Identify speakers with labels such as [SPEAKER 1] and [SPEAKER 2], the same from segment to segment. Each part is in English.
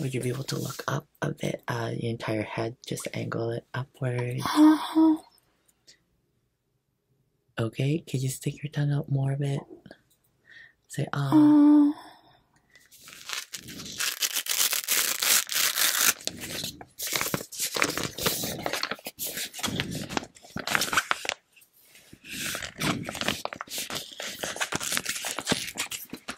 [SPEAKER 1] Would you be able to look up a bit? Uh, the entire head, just angle it upwards. okay, could you stick your tongue out more a bit? Say, ah. ah.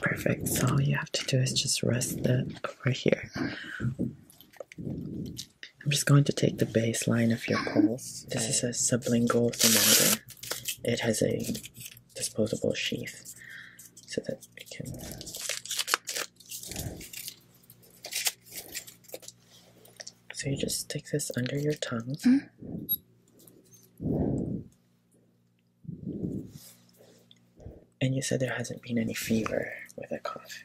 [SPEAKER 1] perfect. So all you have to do is just rest it over here. I'm just going to take the baseline of your pulse. This is a sublingual thermometer. It has a disposable sheath so that we can so you just stick this under your tongue. Mm-hmm. And you said there hasn't been any fever with a cough.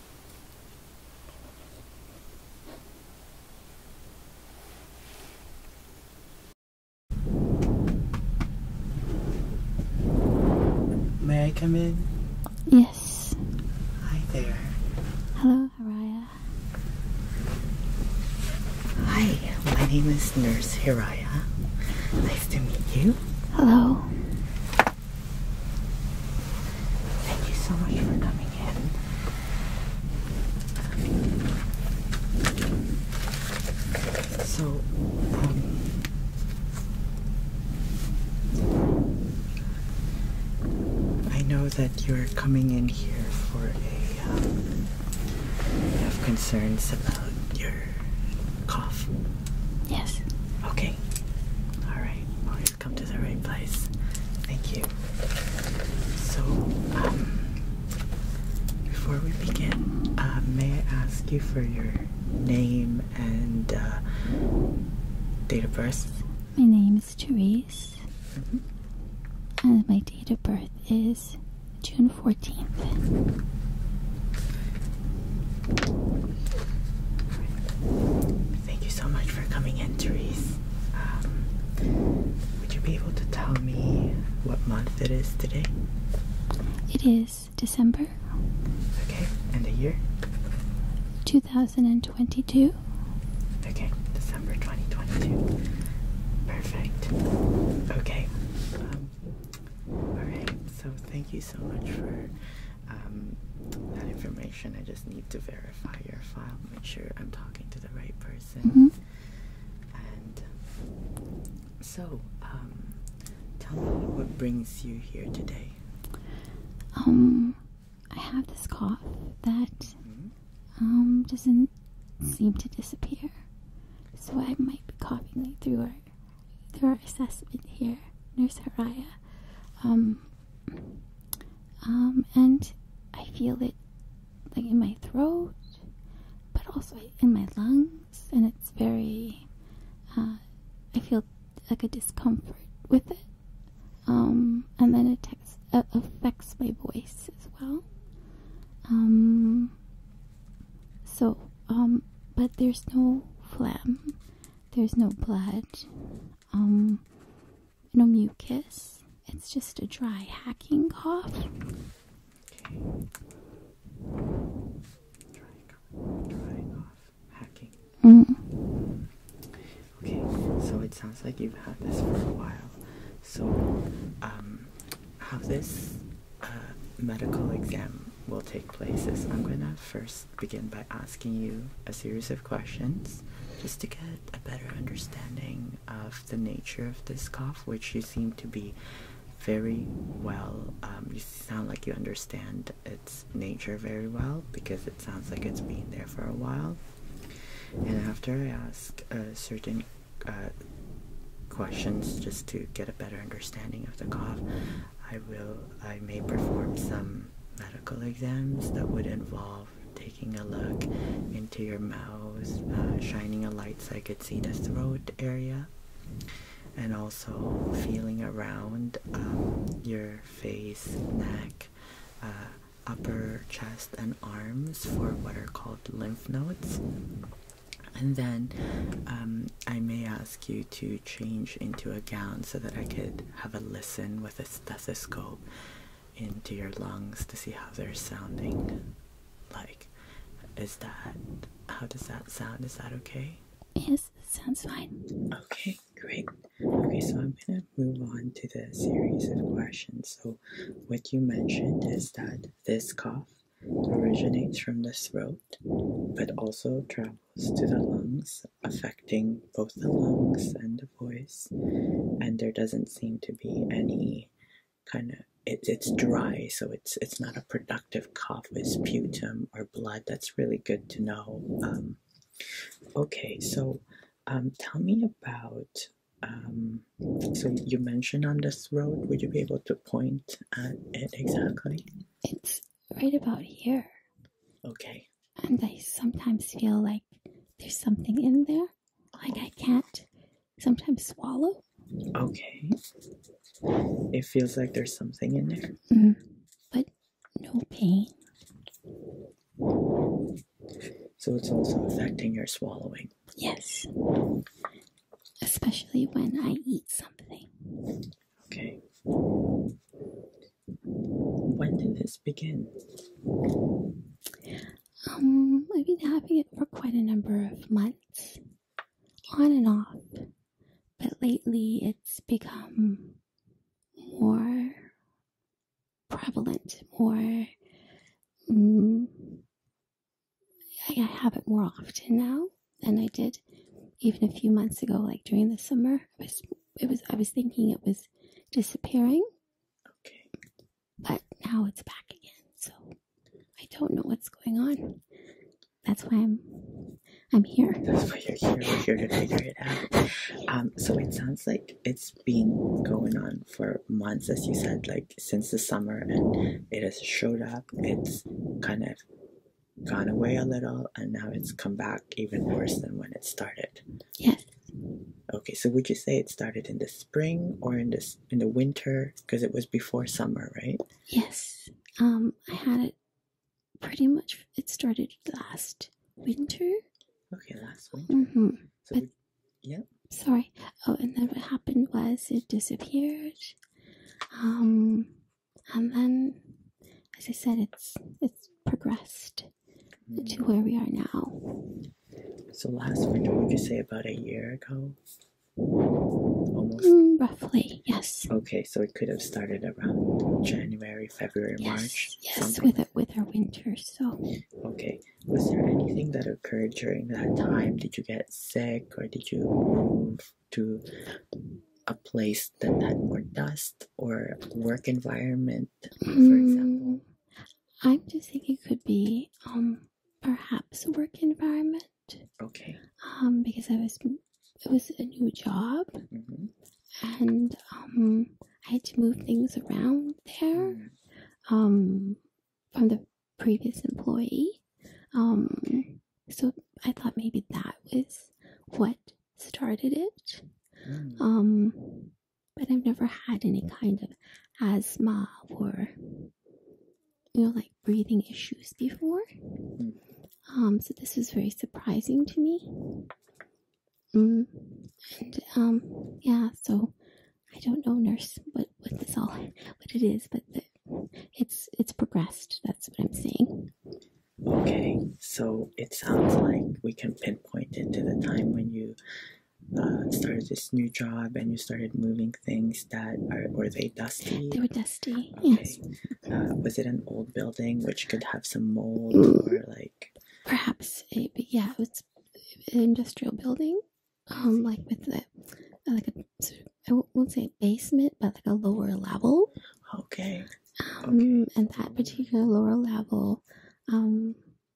[SPEAKER 1] May I come in?
[SPEAKER 2] Yes. Hi there. Hello, Haraya.
[SPEAKER 1] Hi, my name is Nurse Hiraya. Nice to meet you. Hello. Thank you so much for coming in. So, um, I know that you're coming in here for a. Um, you have concerns about your cough. Yes. Okay. All right. All right come to the right place. Thank you. So, um, before we begin, uh, may I ask you for your name and uh, date of birth?
[SPEAKER 2] My name is Therese, mm-hmm. and my date of birth is June 14th.
[SPEAKER 1] Thank you so much for coming in, Therese. Um, would you be able to tell me what month it is today?
[SPEAKER 2] It is December.
[SPEAKER 1] Okay, and the year?
[SPEAKER 2] 2022.
[SPEAKER 1] Okay, December 2022. Perfect. Okay. Um, Alright, so thank you so much for um, that information. I just need to verify your file, make sure I'm talking to the right person. Mm-hmm. And so, um, tell me what brings you here today.
[SPEAKER 2] Um, I have this cough that mm-hmm. um doesn't seem to disappear, so I might be coughing like, through our through our assessment here, Nurse Haraya. Um, um, and I feel it like in my throat, but also in my lungs, and it's very. Uh, I feel like a discomfort with it, um, and then it uh, affects my voice as well. Um, so, but there's no phlegm, there's no blood no mucus. It's just a dry hacking cough. Okay. Mm.
[SPEAKER 1] Okay, so it sounds like you've had this for a while. So, um, how this uh, medical exam will take place is I'm gonna first begin by asking you a series of questions just to get a better understanding of the nature of this cough, which you seem to be very well. Um, you sound like you understand its nature very well because it sounds like it's been there for a while. And after I ask a certain uh, questions just to get a better understanding of the cough, I will. I may perform some medical exams that would involve taking a look into your mouth, uh, shining a light so I could see the throat area, and also feeling around um, your face, neck, uh, upper chest, and arms for what are called lymph nodes. And then um, I may ask you to change into a gown so that I could have a listen a stethoscope into your lungs to see how they're sounding. Like, is that, how does that sound? Is that okay?
[SPEAKER 2] Yes, sounds fine. Okay, great.
[SPEAKER 1] Okay, so I'm going to move on to the series of questions. So, what you mentioned is that this cough originates from the throat but also travels to the lungs affecting both the lungs and the voice, and there doesn't seem to be any kind of it, it's dry, so it's it's not a productive cough with sputum or blood. That's really good to know. Um, okay, so um, tell me about. Um, so you mentioned on the throat. Would you be able to point at it exactly?
[SPEAKER 2] It's right about here. Okay, and I sometimes feel like there's something in there, like I can't sometimes swallow.
[SPEAKER 1] Okay. It feels like there's something in there.
[SPEAKER 2] Mm-hmm. but no pain.
[SPEAKER 1] So it's also affecting your swallowing. Yes.
[SPEAKER 2] Especially when I eat something.
[SPEAKER 1] Okay. When did this begin?
[SPEAKER 2] Um, I've been having it for quite a number of months, on and off. But lately it's become more prevalent, more. Mm, I have it more often now than I did even a few months ago, like during the summer. I was it was I was thinking it was disappearing. Okay. But now it's back again. So I don't know what's going on. That's why I'm I'm here.
[SPEAKER 1] That's why you're here. We're here to figure it out. Um, so it sounds like it's been going on for months, as you said, like since the summer, and it has showed up. It's kind of gone away a little, and now it's come back even worse than when it started. Yes. Okay, so would you say it started in the spring or in the in the winter? Because it was before summer, right?
[SPEAKER 2] Yes. Um, I had it pretty much. It started last winter.
[SPEAKER 1] Okay, last winter.
[SPEAKER 2] Mm -hmm. but, yeah. Sorry. Oh, and then what happened was it disappeared. Um, and then, as I said, it's it's progressed to where we are now.
[SPEAKER 1] So last winter, would you say about a year ago? Almost.
[SPEAKER 2] Mm, roughly,
[SPEAKER 1] yes. Okay, so it could have started around January, February, March. Yes, with a, with our
[SPEAKER 2] winter. So.
[SPEAKER 1] Okay. Was there anything that occurred during that time? Did you get sick, or did you move to a place that had more dust? or work environment,
[SPEAKER 2] for example? Mm, I'm just thinking it could be um perhaps work environment. Okay. Um, because I was it was a new job, mm-hmm. and um, I had to move things around there, mm. um, from the previous employee. Um, so I thought maybe that was what started it. Mm. Um, but I've never had any mm. kind of asthma or you know like breathing issues before. Mm. Um, so this was very surprising to me. Mm. And um, yeah, so I don't know, nurse, what what this all what it is, but it's it's progressed. That's what I'm saying.
[SPEAKER 1] Okay, so it sounds like we can pin pointed to the time when you uh, started this new job and you started moving things that are were they dusty? They
[SPEAKER 2] were dusty. Okay.
[SPEAKER 1] Uh, was it an old building which could have some mold or like?
[SPEAKER 2] Perhaps, it, yeah, it's an industrial building, um, like with the uh, like a I won't say a basement, but like a lower level. Okay. Um, okay. and that particular lower level um,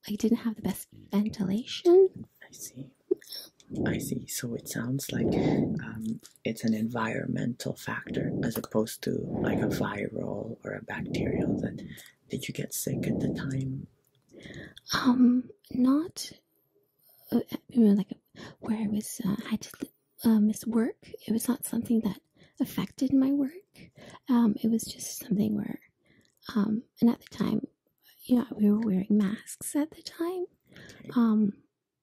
[SPEAKER 2] I didn't have the best ventilation.
[SPEAKER 1] I see. I see. So it sounds like um, it's an environmental factor as opposed to like a viral or a bacterial. That did you get sick at the time?
[SPEAKER 2] Um, not uh, like where I was. Uh, I had to uh, miss work. It was not something that affected my work. Um, it was just something where, um, and at the time, you know, we were wearing masks at the time. Um,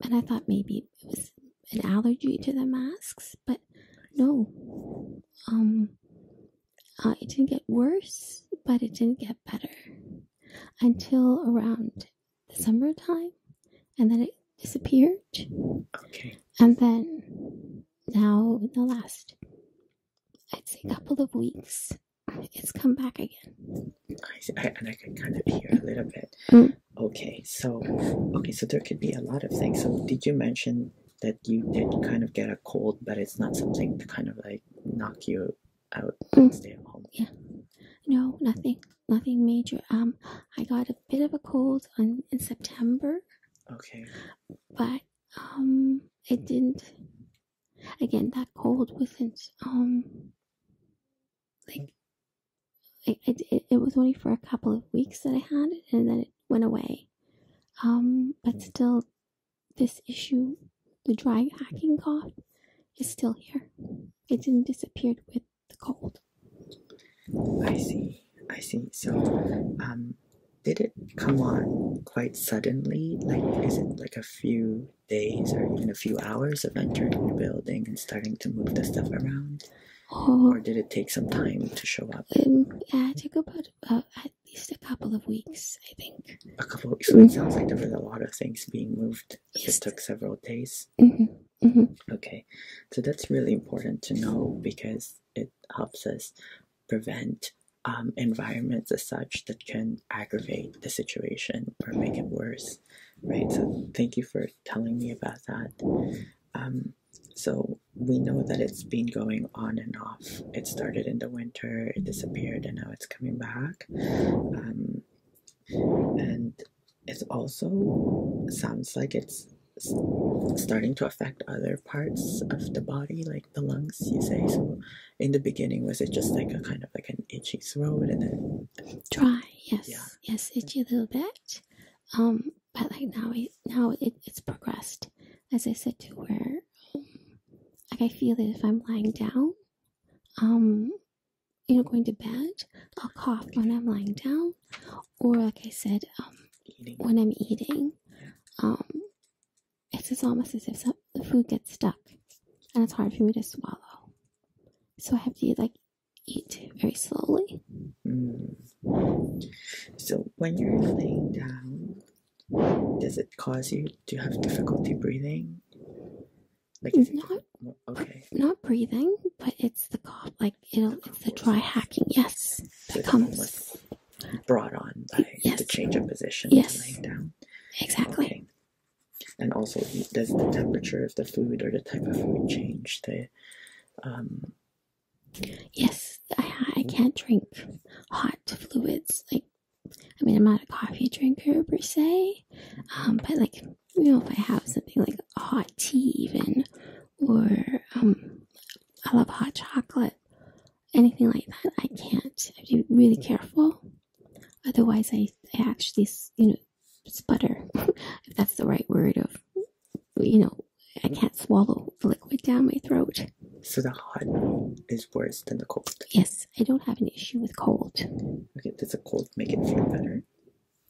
[SPEAKER 2] and I thought maybe it was an allergy to the masks, but no. Um, uh, it didn't get worse, but it didn't get better until around the summertime, and then it disappeared. Okay. And then now in the last I'd say hmm. couple of
[SPEAKER 1] weeks, it's come back again. I, see. and I can kind of hear a little bit. Mm. Okay, so okay, so there could be a lot of things. So did you mention that you did kind of get a cold, but it's not something to kind of like knock you out mm. stay at home? Yeah.
[SPEAKER 2] No, nothing, nothing major. Um, I got a bit of a cold on, in September. Okay. But um I didn't again that cold wasn't um like I, it was only for a couple of weeks that I had it and then it went away um but mm. still this issue the dry hacking cough is still here it didn't disappear with the
[SPEAKER 1] cold I see I see so um did it come on quite suddenly? Like, is it like a few days or even a few hours of entering the building and starting to move the stuff around? Uh-huh. or did it take some time to show up?
[SPEAKER 2] Um, yeah, it took about, at least a couple of weeks, I think.
[SPEAKER 1] A couple So it mm-hmm. sounds like there was a lot of things being moved. Yes. It took several days. Mm-hmm. Mm-hmm. Okay, so that's really important to know because it helps us prevent um, environments as such that can aggravate the situation or make it worse, right? So, thank you for telling me about that. Um, so, we know that it's been going on and off. It started in the winter, it disappeared, and now it's coming back. Um, and it also sounds like it's starting to affect other parts of the body, like the lungs, you say. So, in the beginning, was it just like a kind of like an itchy throat and
[SPEAKER 2] it dry? Yes, yeah. yes, itchy a little bit. Um, but like now, it now it, it's progressed, as I said, to her, um, like I feel it if I'm lying down. Um, you know, going to bed, I'll cough when I'm lying down, or like I said, um, when I'm eating, um, it's almost as if the food gets stuck, and it's hard for me to swallow. So I have to like
[SPEAKER 1] eat very slowly. Hmm. So when you're laying down, does it cause you to have difficulty breathing? Like not it, okay, not
[SPEAKER 2] breathing, but it's the cough. Like it'll, it's the dry hacking. Yes, it so comes
[SPEAKER 1] brought on by the change of position laying down. Exactly. And also, does the temperature of the food or the type of food change the? Um,
[SPEAKER 2] yes, I, I hmm? can't drink hot fluids. Like, I mean, I'm not a coffee drinker per se, um, but like, you know, if I have something like hot tea, even or um, I love hot chocolate, anything like that. I can't. I have be really careful. Otherwise, I, actually, you know, sputter, if that's the right word, of, you know, I can't swallow liquid down my throat.
[SPEAKER 1] So the hot is worse than the cold?
[SPEAKER 2] Yes, I don't have an issue with cold.
[SPEAKER 1] Okay, does a cold make it feel better?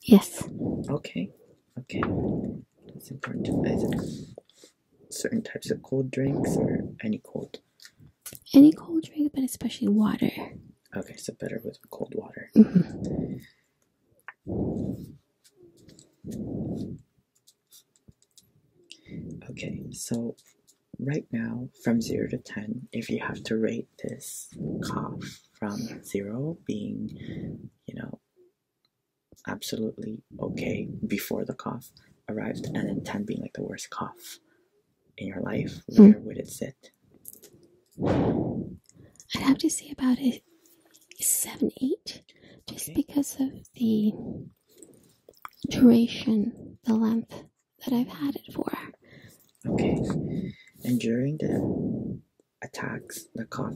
[SPEAKER 1] Yes. Okay, okay. That's important. Is it certain types of cold drinks or any cold?
[SPEAKER 2] Any cold drink, but especially water.
[SPEAKER 1] Okay, so better with cold water. Mm-hmm. Okay, so right now, from 0 to 10, if you have to rate this cough from 0 being, you know, absolutely okay before the cough arrived, and then 10 being like the worst cough in your life, hmm. where would it sit?
[SPEAKER 2] I'd have to say about it seven, eight, just because of the duration, the length that I've had it for.
[SPEAKER 1] Okay. And during the attacks, the cough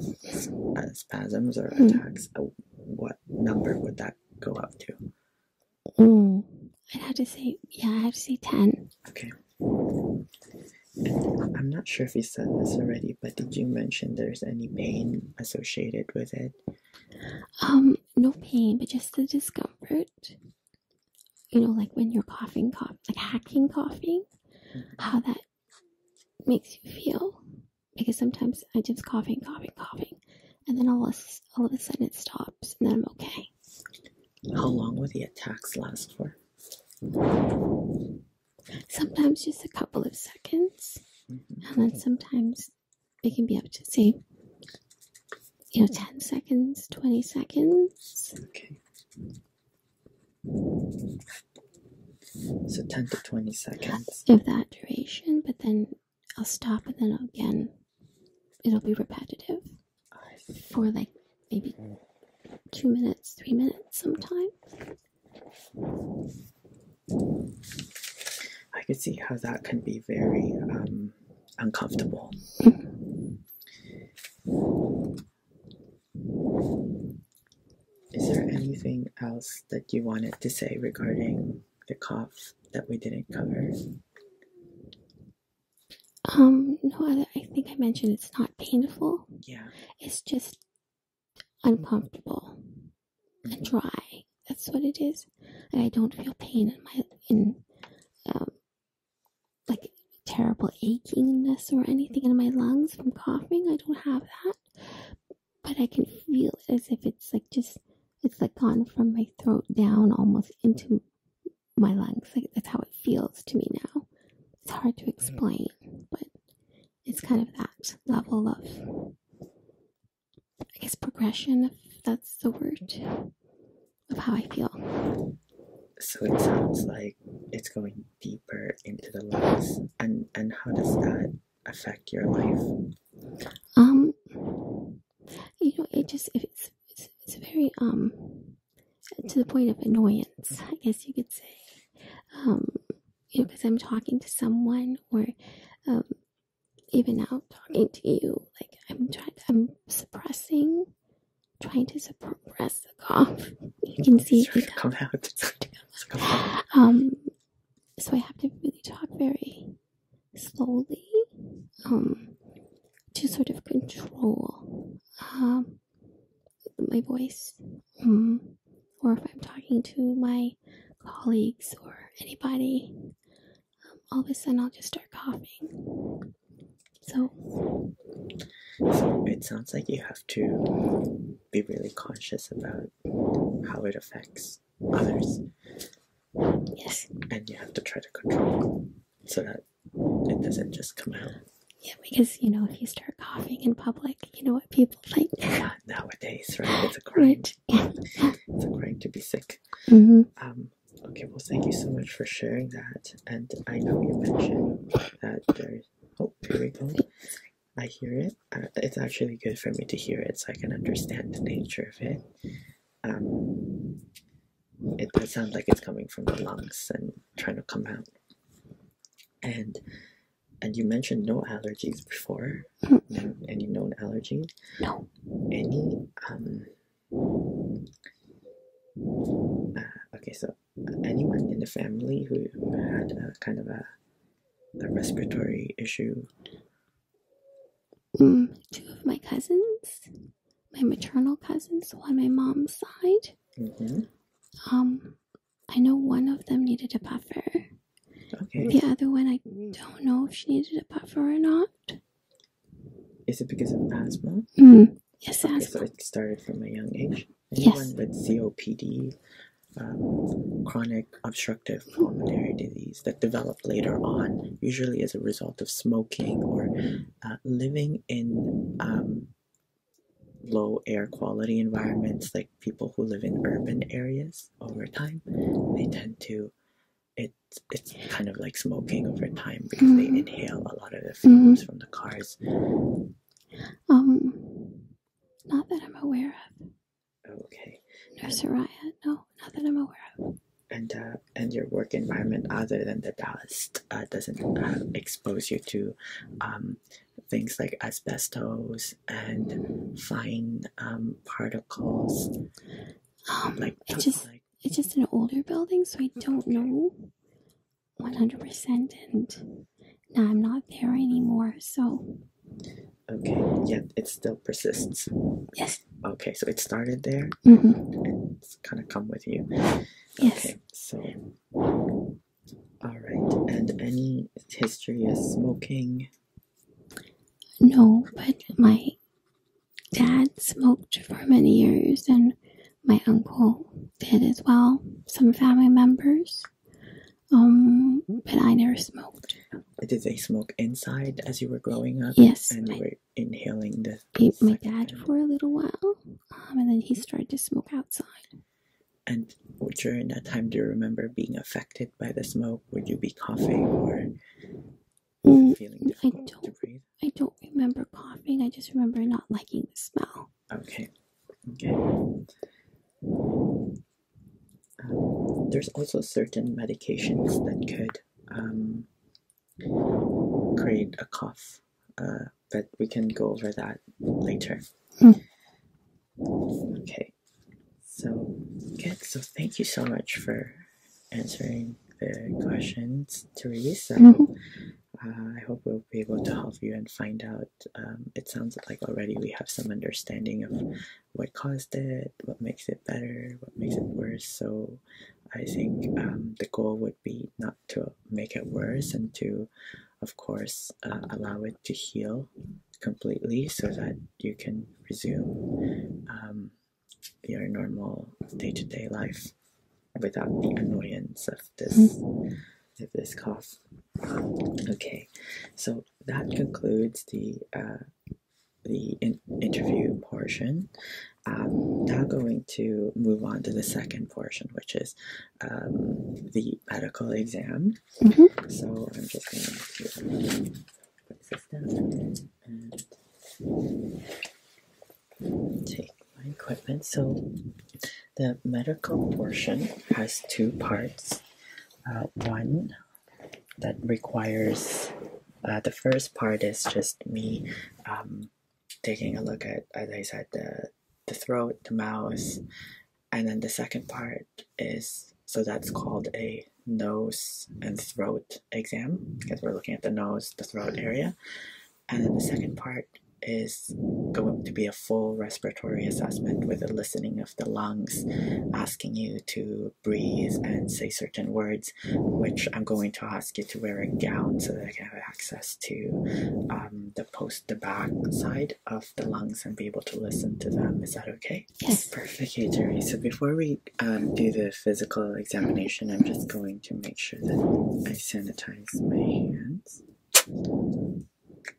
[SPEAKER 1] uh, spasms or hmm. attacks, uh, what number would that go up to?
[SPEAKER 2] I'd have to say, yeah, I have to say 10. Okay. I'm
[SPEAKER 1] not sure if you said this already, but did you mention there's any pain associated with it?
[SPEAKER 2] Um, no pain, but just the discomfort. You know, like when you're coughing, cough, like hacking coughing, mm-hmm. how that makes you feel. Because sometimes I just coughing, coughing, coughing, and then all of, a sudden it stops, and then I'm okay.
[SPEAKER 1] How long will the attacks last
[SPEAKER 2] for? Sometimes just a couple of seconds, mm-hmm. and then sometimes it can be up to say, you know, 10 seconds, 20 seconds.
[SPEAKER 1] So 10 to 20 seconds.
[SPEAKER 2] of that duration, but then I'll stop and then again it'll be repetitive for like maybe two minutes, three
[SPEAKER 1] minutes sometime. I could see how that can be very um, uncomfortable. Mm-hmm. Is there anything else that you wanted to say regarding the cough that we didn't cover?
[SPEAKER 2] Um, no, I think I mentioned it's not painful. Yeah. It's just uncomfortable and mm-hmm. dry. That's what it is. And I don't feel pain in my in um, like terrible achingness or anything in my lungs from coughing. I don't have that but I can feel it as if it's like just it's like gone from my throat down almost into my lungs. Like that's how it feels to me now. It's hard to explain, but it's kind of that level of I guess progression, if that's the word, of how I feel.
[SPEAKER 1] So it sounds like it's going deeper into the lungs, and and how does that affect your life?
[SPEAKER 2] Um, you know, it just if it's, it's very um to the point of annoyance, I guess you could say. Um, you know, because I'm talking to someone or um, even now talking to you, like I'm trying, to, I'm suppressing, trying to suppress the cough. You can see it come come out. Um, so I have to really talk very slowly um, to sort of control um, my voice, um, or if I'm talking to my colleagues or anybody, all of a sudden I'll just start coughing. So,
[SPEAKER 1] so it sounds like you have to be really conscious about how it affects others. Yes. And you have to try to control so that it doesn't just come out.
[SPEAKER 2] Yeah, because you know if you start coughing in public, you know what people think. Yeah, nowadays,
[SPEAKER 1] right? It's a crime. It's a crime to be sick. Mm-hmm. Um, okay, well, thank you so much for sharing that. And I know you mentioned that there. Oh, here we go. I hear it. Uh, it's actually good for me to hear it so I can understand the nature of it. Um, it does sound like it's coming from the lungs and trying to come out. And and you mentioned no allergies before. Mm-hmm. Any known allergies? No. Any um. Uh, okay, so uh, anyone in the family who had a kind of a the respiratory issue? Mm,
[SPEAKER 2] two of my cousins, my maternal cousins, on my mom's side.
[SPEAKER 1] Mm-hmm.
[SPEAKER 2] Um, I know one of them needed a buffer. The other one, I don't know if she needed a buffer or not.
[SPEAKER 1] Is it because of asthma? Mm-hmm. yes, asthma. it started from a young age. yes. with COPD um, chronic obstructive pulmonary disease that develop later on, usually as a result of smoking or uh, living in um, low air quality environments, like people who live in urban areas over time, they tend to. It, it's kind of like smoking over time because they mm-hmm. inhale a lot of the fumes mm-hmm. from the cars.
[SPEAKER 2] Um, not that I'm aware of.
[SPEAKER 1] Okay. Nurse Soraya,
[SPEAKER 2] no, not that I'm aware
[SPEAKER 1] of. And uh, and your work environment, other than the dust, uh, doesn't uh, expose you to um, things like asbestos and fine um, particles. Um, like
[SPEAKER 2] it's just it's just an older building, so I don't know one hundred percent. And now I'm not there anymore, so
[SPEAKER 1] Okay, Yeah, it still persists. Yes. Okay, so it started there mm -hmm. and it's kind of come with you. Yes. Okay, so. All right, and any history of smoking?
[SPEAKER 2] No, but my dad smoked for many years and my uncle did as well, some family members. Um, but I never smoked.
[SPEAKER 1] Did they smoke inside as you were growing up? Yes. And you were inhaling the.
[SPEAKER 2] my dad for a little while, um, and then he started to smoke outside.
[SPEAKER 1] And during that time, do you remember being affected by the smoke? Would you be coughing or
[SPEAKER 2] mm, feeling I don't, I don't remember coughing. I just remember not liking the smell.
[SPEAKER 1] Okay. Okay there's also certain medications that could um, create a cough, uh, but we can go over that later. Hmm. Okay, so good. So thank you so much for answering the questions, Teresa. Mm-hmm. Uh, I hope we'll be able to help you and find out. Um, it sounds like already we have some understanding of what caused it, what makes it better, what makes it worse. So I think um, the goal would be not to make it worse and to, of course, uh, allow it to heal completely so that you can resume um, your normal day to day life without the annoyance of this. Mm-hmm. Of this cough. Okay, so that concludes the uh, the interview portion. Um, now going to move on to the second portion, which is um, the medical exam. Mm-hmm. So I'm just going to take my equipment. So the medical portion has two parts. Uh, one that requires uh, the first part is just me um, taking a look at, as I said, the, the throat, the mouth, and then the second part is so that's called a nose and throat exam because we're looking at the nose, the throat area, and then the second part is going to be a full respiratory assessment with a listening the lungs asking you to breathe and say certain words, which I'm going to ask you to wear a gown so that I can have access to um, the post, the back side of the lungs and be able to listen to them. Is that okay? Yes. Perfect, Jerry. So before we um, do the physical examination, I'm just going to make sure that I sanitize my hands.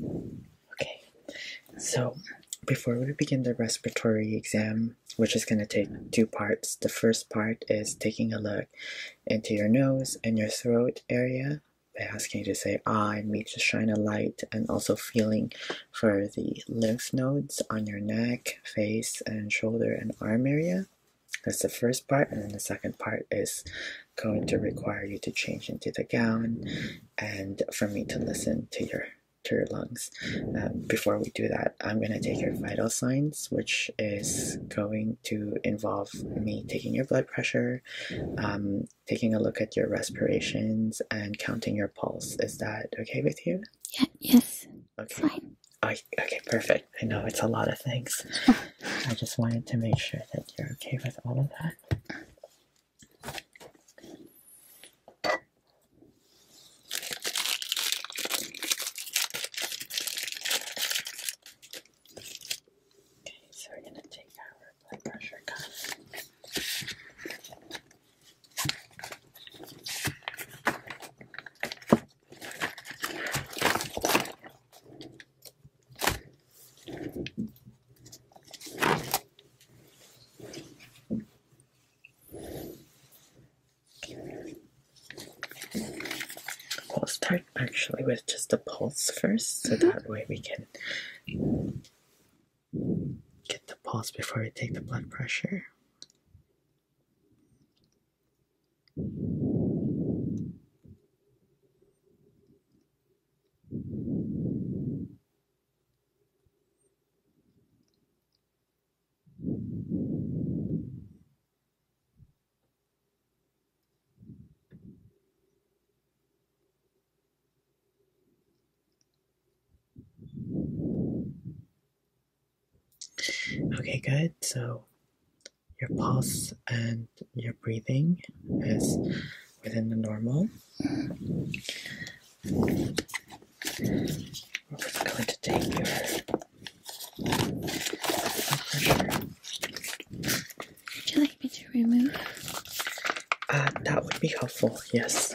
[SPEAKER 1] Okay, so before we begin the respiratory exam, which is going to take two parts, the first part is taking a look into your nose and your throat area by asking you to say ah and me to shine a light and also feeling for the lymph nodes on your neck, face, and shoulder and arm area. That's the first part, and then the second part is going to require you to change into the gown and for me to listen to your to your lungs. Um, before we do that, I'm going to take your vital signs, which is going to involve me taking your blood pressure, um, taking a look at your respirations, and counting your pulse. Is that okay with you? Yeah, yes. Okay. Fine. Oh, okay, perfect. I know it's a lot of things. I just wanted to make sure that you're okay with all of that. Okay, so we're going to take our blood pressure gun. Okay. We'll start actually with just a pulse first, so mm-hmm. that way we can get the pulse before we take the blood pressure. Okay, good. So your pulse and your breathing is within the normal. We're going to take your
[SPEAKER 2] Would you like me to remove?
[SPEAKER 1] Uh, that would be helpful, yes.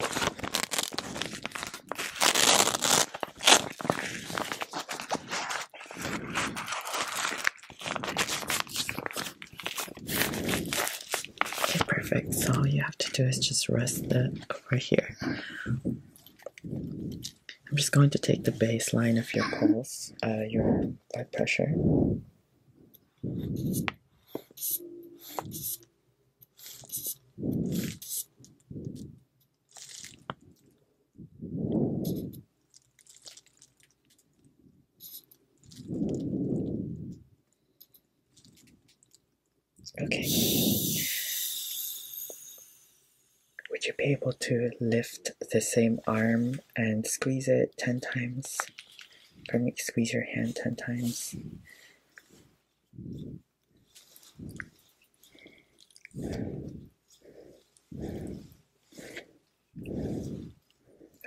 [SPEAKER 1] Okay, perfect. So all you have to do is just rest it over here. I'm just going to take the baseline of your pulse, uh, your blood pressure. Okay. Would you be able to lift the same arm and squeeze it 10 times? Pardon me, squeeze your hand 10 times.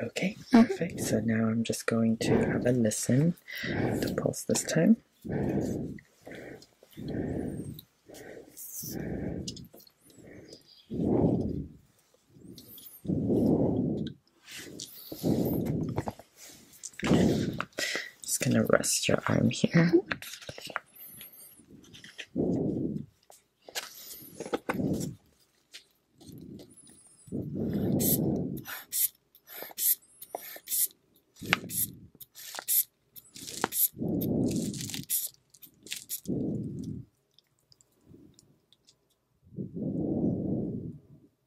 [SPEAKER 1] Okay, oh. perfect. So now I'm just going to have a listen to pulse this time. Just gonna rest your arm here.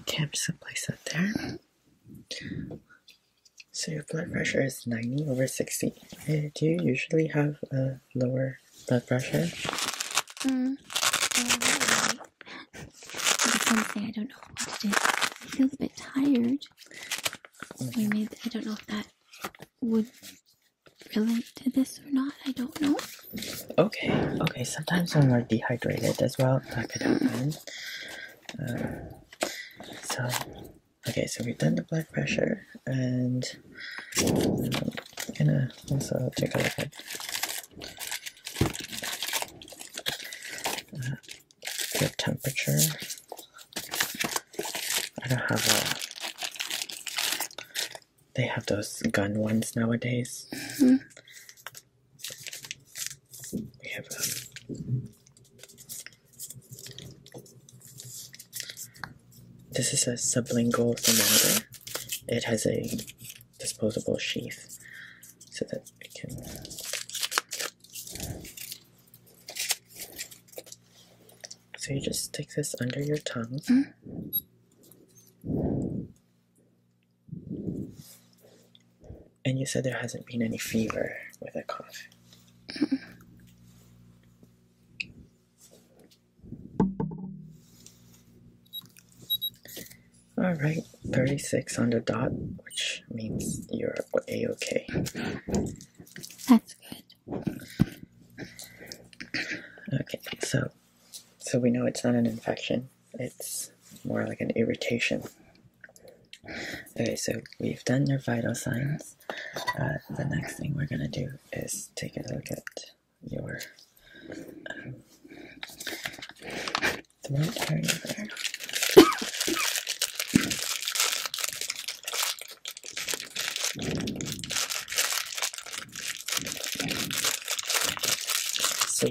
[SPEAKER 1] Okay, I'm just going place that there. So your blood pressure is 90 over 60. Uh, do you usually have a lower blood pressure?
[SPEAKER 2] Mm, it's I don't know what to do. I feel a bit tired. I don't know if that would relate to this or not. I don't know.
[SPEAKER 1] Okay. Okay. Sometimes when we're dehydrated as well, that could happen. Uh, so, okay. So we've done the blood pressure, and I'm gonna also take out the. at. Uh, Good temperature. I don't have a. They have those gun ones nowadays. Mm-hmm. We have um, This is a sublingual thermometer. It has a disposable sheath so that we can so you just stick this under your tongue. Mm-hmm. And you said there hasn't been any fever with a cough. Mm-hmm. All right, 36 on the dot, which means you're a-okay. That's good. Okay, so so we know it's not an infection. It's more like an irritation. Okay, so we've done your vital signs. Uh, the next thing we're gonna do is take a look at your um, so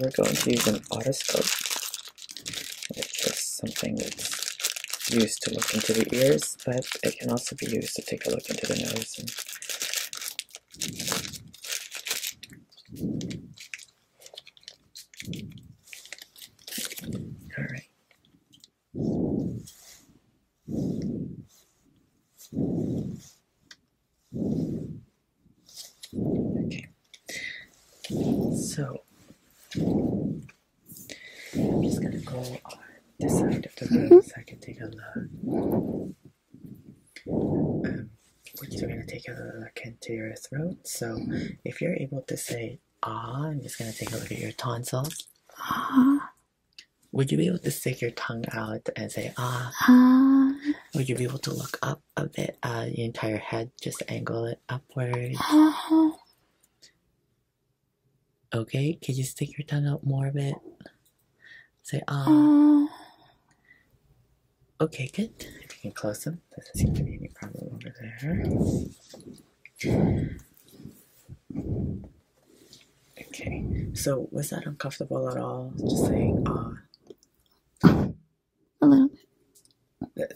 [SPEAKER 1] we're going to use an otoscope, which is something that's used to look into the ears, but it can also be used to take a look into the nose all right. Okay. So I'm just gonna go on this side of the room mm-hmm. so I can take a look. Um, which is going to take a look into your throat. So if you're able to say ah, I'm just going to take a look at your tonsils.
[SPEAKER 2] Ah.
[SPEAKER 1] Would you be able to stick your tongue out and say ah? Ah. Would you be able to look up a bit, uh, your entire head, just angle it upwards.
[SPEAKER 2] Ah.
[SPEAKER 1] Okay, could you stick your tongue out more a bit? Say ah. Okay, good. If you can close them, doesn't seem to be any problem over there. Okay, so was that uncomfortable at all? Just saying, uh, A little bit.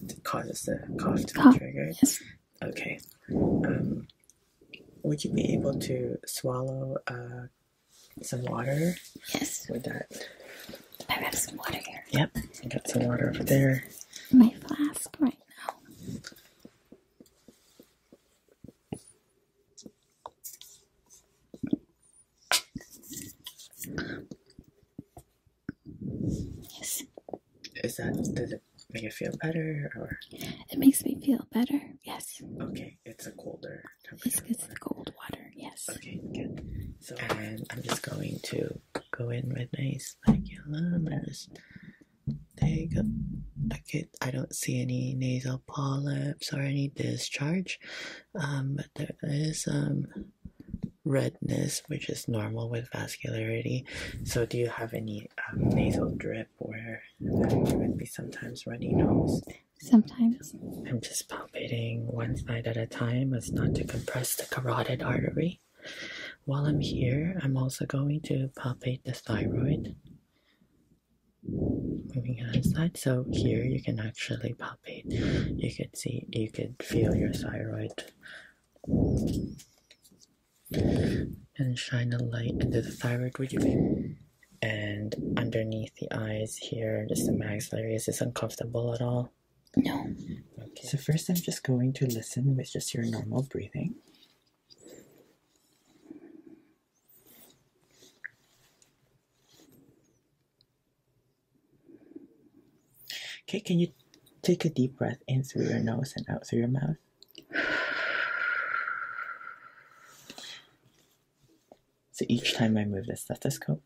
[SPEAKER 1] That causes the cough to cough, be triggered? Yes. Okay. Um, would you be able to swallow uh, some water? Yes. With that I have some water here. Yep, I got some water over there.
[SPEAKER 2] My flask right now.
[SPEAKER 1] Yes. Is that does it make it feel better or?
[SPEAKER 2] It makes me feel better.
[SPEAKER 1] Yes. Okay, it's a colder. This it's the cold water. Yes. Okay, good. So and I'm just going to go in with nice speculum and just take a, okay, I don't see any nasal polyps or any discharge, um, but there is um, redness, which is normal with vascularity. So, do you have any um, nasal drip where um, would be sometimes runny nose? Sometimes. I'm just palpating one side at a time as not to compress the carotid artery. While I'm here, I'm also going to palpate the thyroid. Moving on side, so here you can actually palpate. You could see, you could feel your thyroid, and shine a light into the thyroid, region. And underneath the eyes here, just the maxillary. Is this uncomfortable at all? No. Mm-hmm. so first I'm just going to listen with just your normal breathing. Okay, can you take a deep breath in through your nose and out through your mouth? So each time I move the stethoscope,